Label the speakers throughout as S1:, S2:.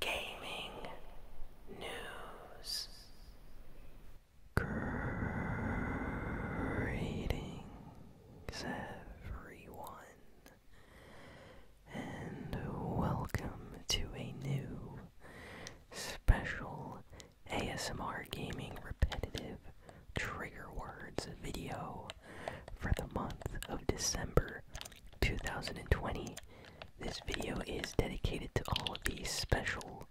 S1: gaming news. everyone, and welcome to a new special ASMR Gaming Repetitive Trigger Words video for the month of December 2020. This video is dedicated to all of these special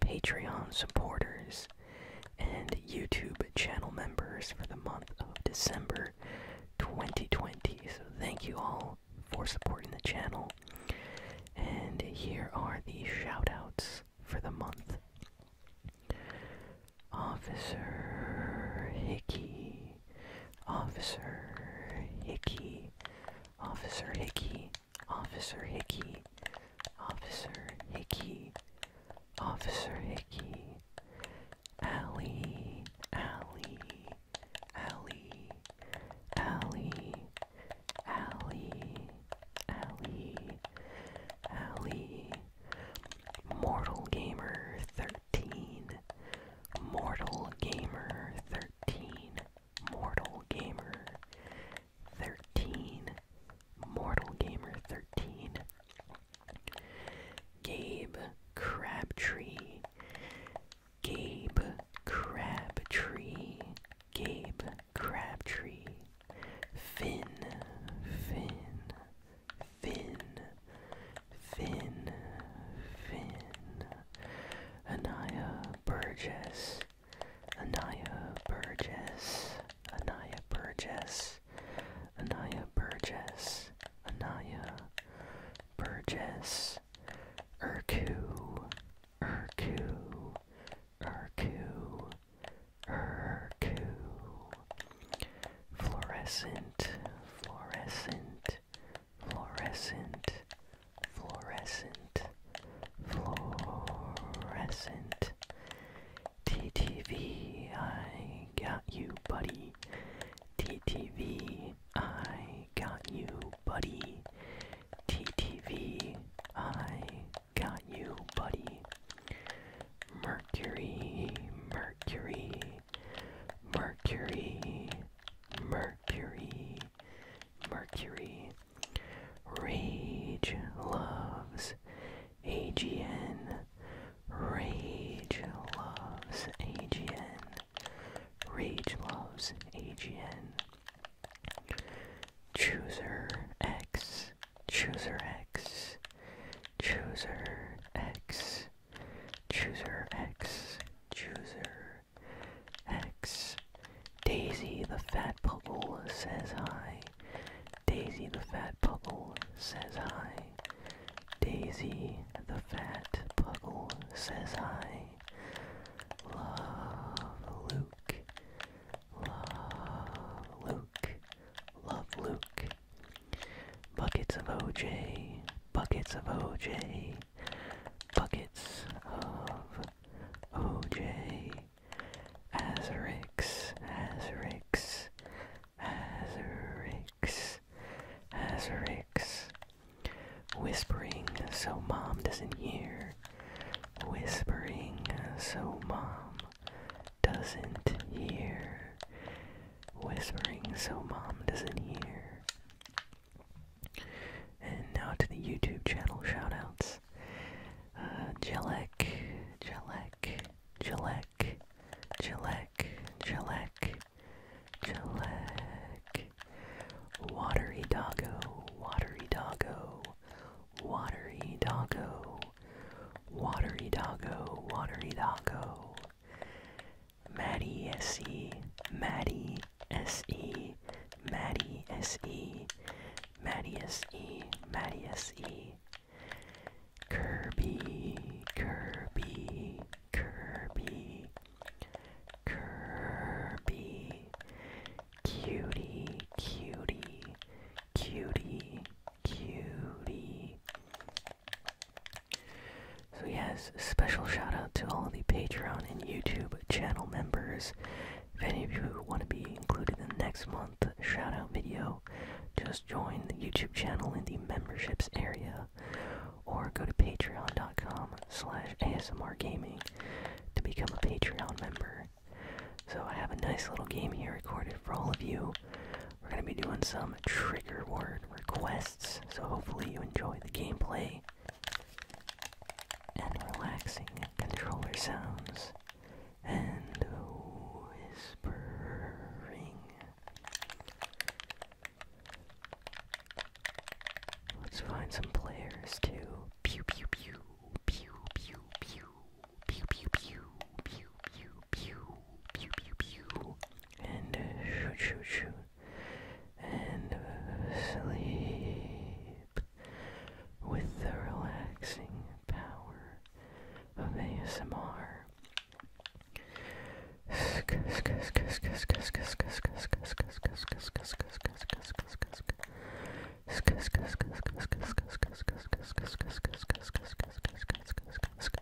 S1: Patreon supporters and YouTube channel members for the month of December 2020. So, thank you all for supporting the channel. And here are the shoutouts for the month Officer Hickey, Officer Hickey. Officer Hickey. Officer Hickey. Officer Hickey. Officer Hickey. Alley. Alley. Alley. Alley. Alley. Alley. Alley. Mortal 13. Mortal Gamer 13, Mortal Gamer 13, Mortal Gamer 13, Gabe Crabtree, Gabe Crabtree, Gabe Crabtree, Finn, Finn, Finn, Finn, Finn, Anaya Burgess, Anaya Burgess, Anaya Burgess, Anaya Burgess, Anaya Burgess, Urku, Urku, Urku, Urku, Fluorescent, Fluorescent, fluorescent, fluorescent, fluorescent. TTV, I got you, buddy. TTV, I got you, buddy. TTV, I got you, buddy. Mercury, Mercury, Mercury, Mercury, Mercury. Rage loves AGN. Rage loves AGN. Rage loves AGN. Chooser X. Chooser X. Chooser X. Chooser X, Chooser X. Daisy the Fat Puggle says hi. Daisy the Fat Puggle says hi. Daisy the Fat Puggle says hi. Love Luke. Love Luke. Love Luke. Buckets of OJ, buckets of OJ, buckets of OJ. Azarix, Azarix, Azarix, Azarix. Whispering so mom doesn't hear. Whispering so mom doesn't hear whispering so mom doesn't hear. And now to the YouTube channel shoutouts. Uh, Jelek, Jelek, Jelek, Jelek, Jelek, Jelek. Watery Doggo, Watery Doggo, Watery Doggo, Watery Doggo, Watery Doggo. Maddie SE, Maddie SE, Maddie SE, Maddie SE, Maddie SE. Kirby, Kirby, Kirby, Kirby, cutie, cutie, cutie, cutie, so yes, special shout out to all the Patreon and YouTube channel members. If any of you want to be included in the next month shout out video, just join the YouTube channel in the memberships area or go to patreon.com slash ASMRgaming to become a Patreon member. So I have a nice little game here recorded for all of you. We're going to be doing some trigger word requests, so hopefully you enjoy the gameplay and relaxing controller sounds and whispering. Let's find some players too. Pew pew pew pew pew pew pew pew pew pew pew pew pew pew pew and shoot, shoot, shoot, and sleep with the relaxing power of ASMR.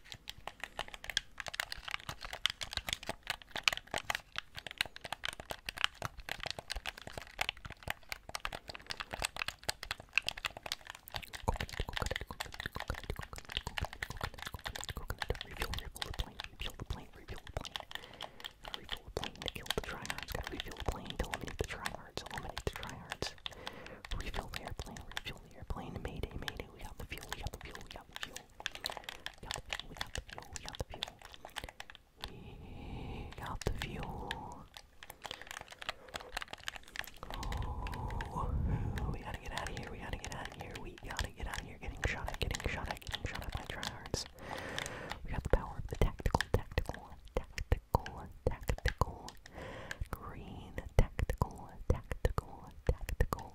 S1: Refuel, refuel the plane, refuel the plane, refuel the plane. Gotta refuel the plane to kill the tryhards, gotta refuel the plane to eliminate the tryhards, eliminate the tryhards. Refuel the airplane, refuel the airplane, mayday, mayday, we got the fuel, we got the fuel, we got the fuel. We got the fuel, we got the fuel, we got the fuel. We got the fuel. Oh, we gotta get out of here, we gotta get out of here, we gotta get out of here. Getting shot at, getting shot at, getting shot at by tryhards. We got the power of the tactical, tactical, tactical, tactical. Green, tactical, tactical, tactical,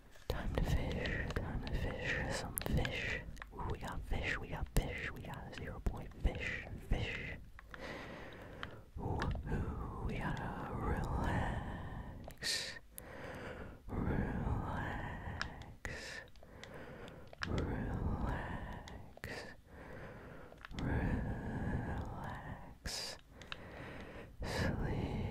S1: Time to fish, time to fish some fish. we got fish, we got fish, we got a zero point fish, fish. ooh, we gotta relax, relax, relax, relax. Sleep,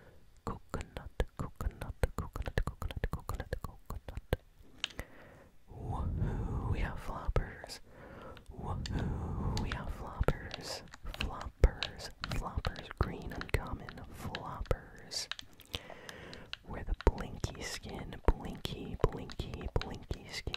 S1: coconut, coconut, coconut, coconut, coconut, coconut. Woohoo, we have floppers. Woohoo, we have floppers. Floppers, floppers, green uncommon, floppers. With a blinky skin, blinky, blinky, blinky skin.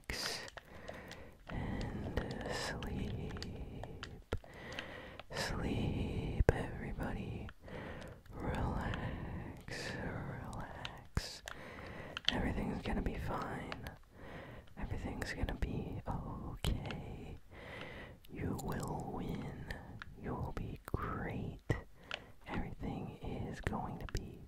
S1: and sleep. Sleep, everybody. Relax, relax. Everything's gonna be fine. Everything's gonna be okay. You will win. You'll be great. Everything is going to be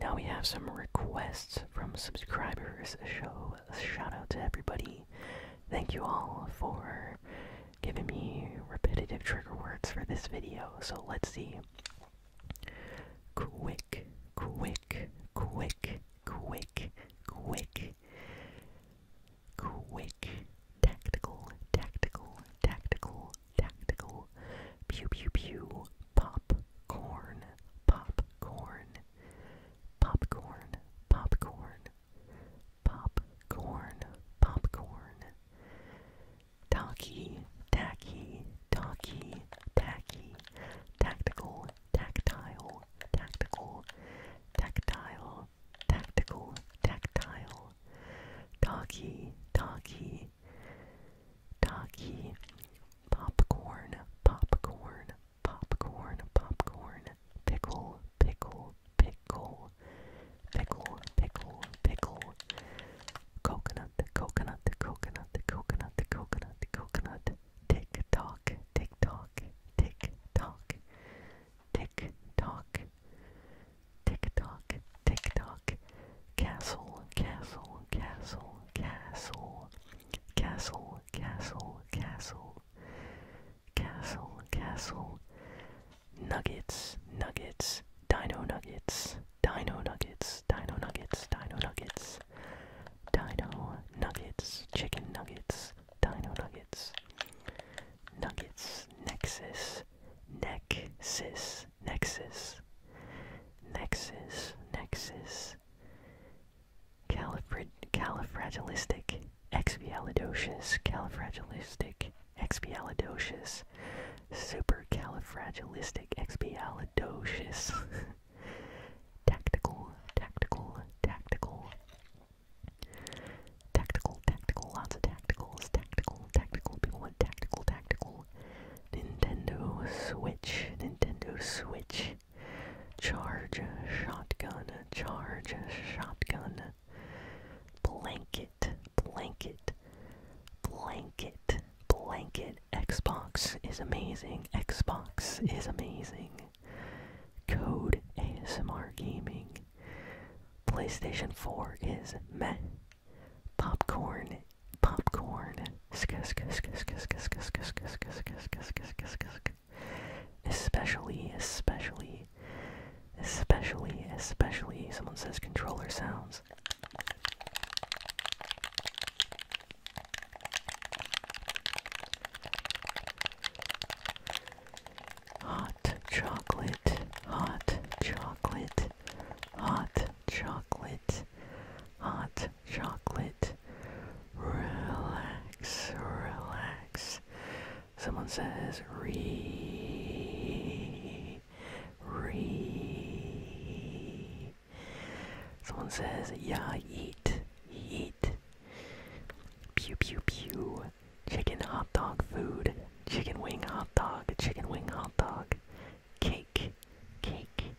S1: now we have some requests from subscribers. So a shout out to everybody. Thank you all for giving me repetitive trigger words for this video. So let's see. Quick, quick, quick, quick, quick. Quick. Tactical, tactical, tactical, tactical. Pew, pew, pew. Popcorn, popcorn. Popcorn, popcorn. Popcorn, popcorn. Taki, tacky, talky, tacky, tactical, tactile, tactical, tactile, tactical, tactile, talky, talky, talky, popcorn, popcorn, popcorn, popcorn, pickle, pickle, pickle, pickle, pickle, pickle, coconut, coconut, coconut, coconut, coconut, coconut, tick tock, tick tock, tick tock, tick tock, tick tock, tick tock, castle, castle, castle, castle, castle, castle, castle. Castle, castle, nuggets, nuggets, dino nuggets, Dino nuggets, dino nuggets, dino nuggets, dino nuggets, chicken nuggets, dino nuggets, nuggets, nexus, nexus, nexus, nexus, nexus, califragilistic, expialidocious, califragilistic, Expialidocious. Supercalifragilistic expialidocious. tactical, tactical, tactical. Tactical, tactical, lots of tacticals. Tactical, tactical. People want tactical, tactical. Nintendo Switch, Nintendo Switch. Charge shotgun, charge shotgun. Blanket, blanket, Blanket. Blanket. Xbox is amazing. Xbox is amazing. Code ASMR Gaming. PlayStation 4 is meh. Popcorn. Popcorn. Especially, especially Especially, especially, someone says controller sounds. Hot chocolate, hot chocolate, hot chocolate, hot chocolate. Relax, relax. Someone says, re Re. Someone says, yeah, eat, eat. Pew, pew, pew. Chicken hot dog food. Chicken wing hot dog. Chicken wing hot dog. Cake. Cake.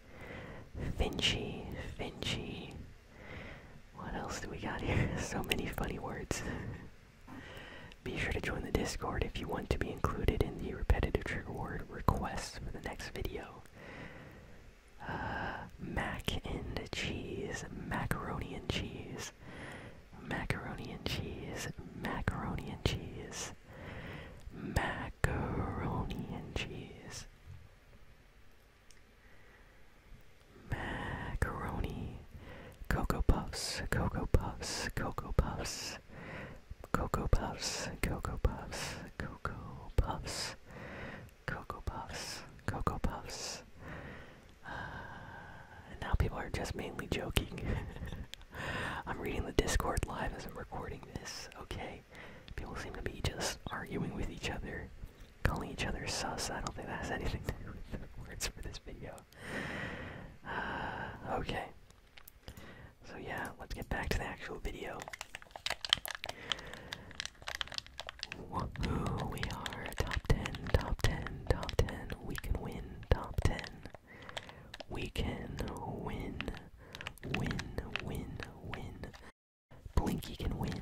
S1: Finchy. Finchy. What else do we got here? so many funny words. Be sure to join the Discord if you want to be included in the repetitive trigger word requests for the next video. Uh, mac and cheese, macaroni and cheese, macaroni and cheese, macaroni and cheese, macaroni and cheese, macaroni Cocoa Puffs, Cocoa Puffs, Cocoa Puffs, Cocoa Puffs, Cocoa Puffs, Cocoa Puffs, Cocoa Puffs, Cocoa Puffs. And uh, now people are just mainly joking. I'm reading the Discord live as I'm recording this, okay? People seem to be just arguing with each other, calling each other sus. I don't think that has anything to do with the words for this video. okay. So yeah, let's get back to the actual video. We are top ten, top ten, top ten. We can win, top ten. We can win, win, win, win. Blinky can win.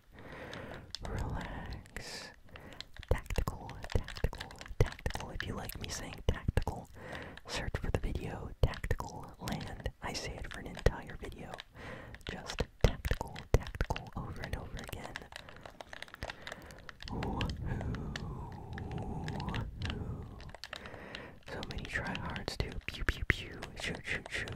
S1: relax. Tactical, tactical, tactical. If you like me saying tactical, search for the video Tactical Land. I say it for an entire video. Just tactical, tactical over and over again. Ooh, ooh, ooh. So many tryhards do pew pew pew, shoot shoot shoot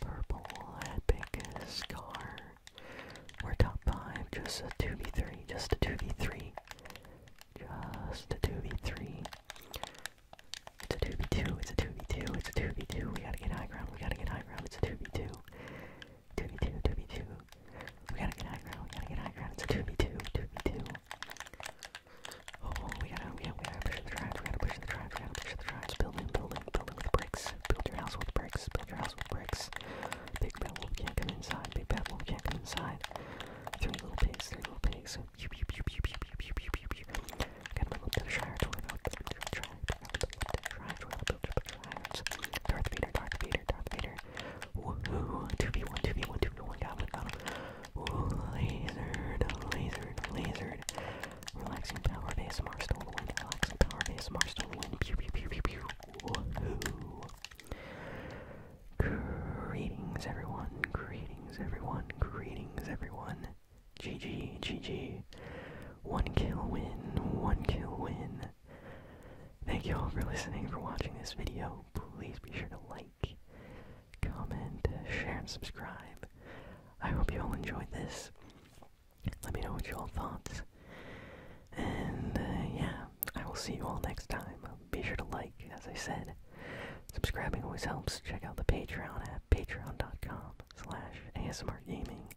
S1: Purple epic scar. We're top five, just a 2v3, just a 2v3. Just a 2v3. It's a 2v2, it's a 2v2, it's a 2v2. We gotta get high ground, we gotta get high ground, it's a 2v2. 2v2, 2v2. We gotta get high ground, we gotta get high ground, it's a 2v2, 2v2. Oh, we gotta, we gotta, we gotta push the drive. We gotta push the drive. We gotta push the drive. Building, building, building with bricks. Build your house with bricks. Build your house with bricks. Big bad wolf can't come inside. Big bad wolf can't come inside. Three little pigs. Three little pigs. Pew pew pew pew pew pew pew pew pew pew. Got my little bit of shire dwarf. Shire dwarf. Build your shires. Darth Vader. Darth Vader. Darth Vader. Woohoo! Two v one. Two v one. Two v one. Got him. Got him. Ooh, lizard, lizard, lizard. Relaxing power base, Mars stole the wind. Relaxing power base, Mars stole the wind. Pew, pew, pew, pew, pew. Woohoo. Greetings, everyone. Greetings, everyone. Greetings, everyone. GG, GG. One kill win, one kill win. Thank you all for listening, for watching this video. Please be sure to like like, comment, share, and subscribe. I hope you all enjoyed this. Let me know what you all thought. And uh, yeah, I will see you all next time. Be sure to like, as I said. Subscribing always helps. Check out the Patreon at patreon.com slash asmrgaming.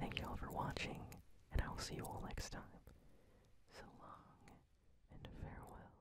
S1: Thank you all for watching, and I will see you all next time. So long, and farewell.